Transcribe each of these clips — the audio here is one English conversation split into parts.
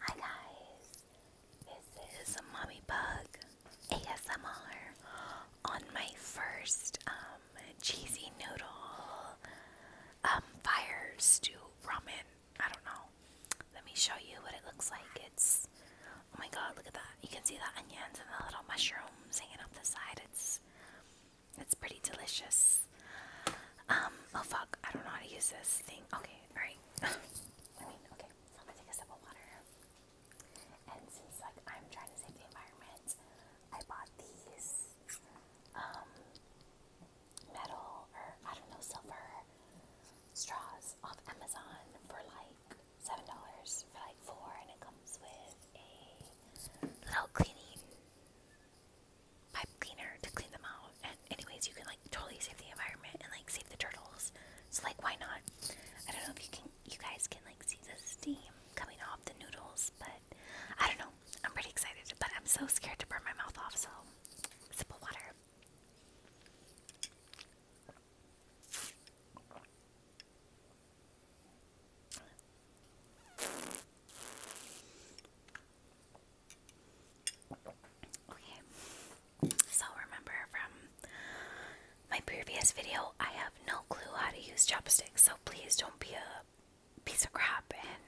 Hi guys, this is Mommy Bug ASMR on my first um, cheesy noodle um, fire stew ramen. I don't know. Let me show you what it looks like. It's oh my god, look at that! You can see the onions and the little mushrooms hanging off the side. It's it's pretty delicious. Um, oh fuck, I don't know how to use this thing. Okay, alright. I mean, okay, so I'm gonna take a sip of water. And since like I'm trying to save the environment, I bought these um, metal or I don't know, silver straws off Amazon for like seven dollars for like four and it comes with a little cleaning pipe cleaner to clean them out. And anyways, you can like totally save the environment and like save the turtles. So like, why not? I don't know if you can, you guys can like see the steam coming off the noodles, but I don't know. I'm pretty excited, but I'm so scared to burn my mouth off. So sip of water. Okay, so remember from my previous video, I have no clue how to use chopsticks, so please don't be a piece of crap and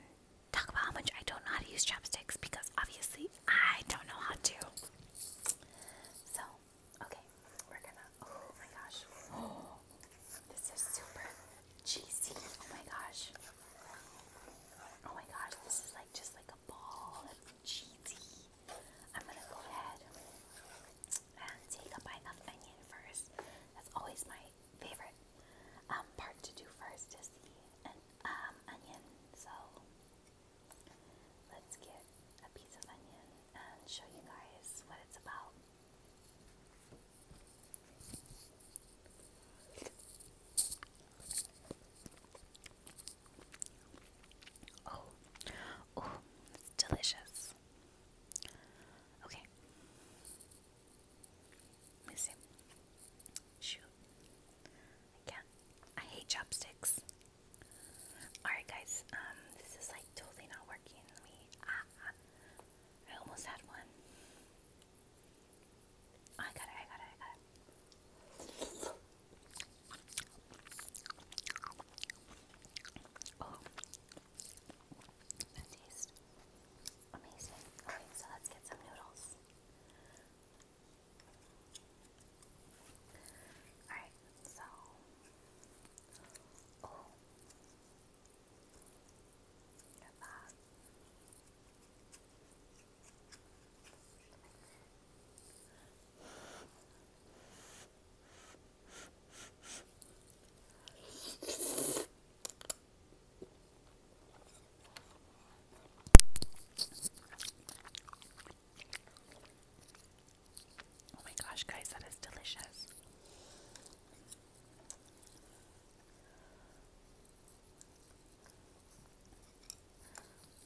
talk about how much I don't know how to use chopsticks because obviously I don't know how to. So, okay, we're gonna. Oh my gosh. Oh, this is super cheesy. Oh my gosh. Oh my gosh, this is like just like a ball of cheesy. I'm gonna go ahead and take a bite of onion first. That's always my favorite um, part to do first is the um, onion. So let's get a piece of onion and show you guys what it's about. Oh, oh, delicious. Okay, let me see. Shoot, I I hate chopsticks. All right, guys. Um, this is like totally not working. me. Ah, ah. I almost had one. I got it, I got it, I got it. Oh. that tastes amazing. Okay, so let's get some noodles. Alright, so. Oh. Look at that. Oh my gosh, guys, that is delicious.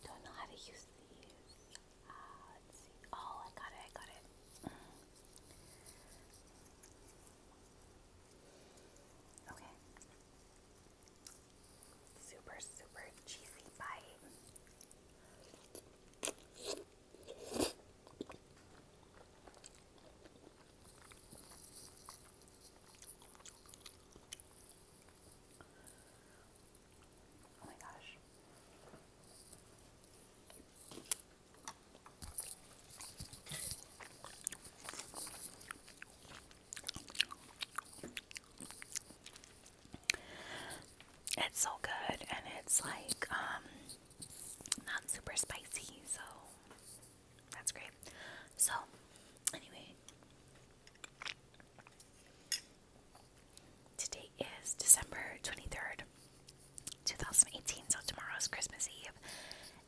Don't know how to use these. Uh, let's see. Oh, I got it. I got it. Okay. Super, super cheesy bite. Oh my gosh. It's so good and it's like um, not super spicy, so that's great. So, anyway, today is December 23rd, 2018. So, tomorrow is Christmas Eve.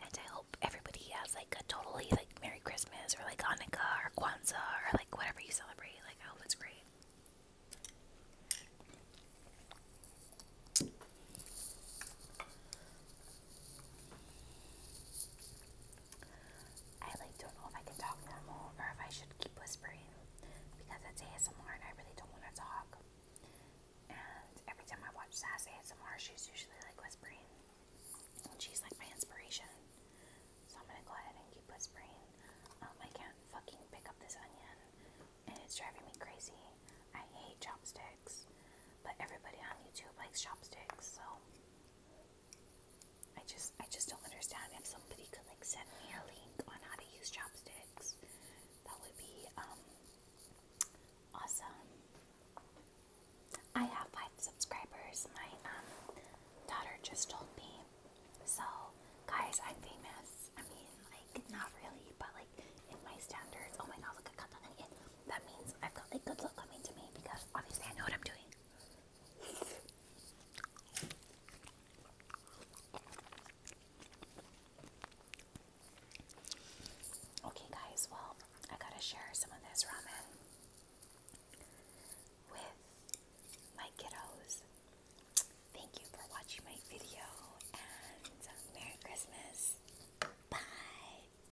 And I hope everybody has like a totally like Merry Christmas or like Hanukkah or Kwanzaa or like whatever you celebrate. Like, I hope it's great. I like don't know if I can talk normal or if I should keep whispering because that's ASMR and I really don't want to talk. And every time I watch Sass ASMR, she's usually like whispering. And she's like my inspiration. So I'm gonna go ahead and keep whispering. Um, I can't fucking pick up this onion and it's driving me crazy. I hate chopsticks. But everybody on YouTube likes chopsticks, so I just I just don't understand if somebody could like send me a link on how to use chopsticks. That would be um awesome. I have five subscribers. My um, daughter just told me. So guys, I'm famous. I mean like not really, but like in my standards. Oh my god, look at onion. That means I've got a good look coming to me because obviously I know what I'm doing. Okay, guys, well, I gotta share some of this ramen with my kiddos. Thank you for watching my video and Merry Christmas. Bye.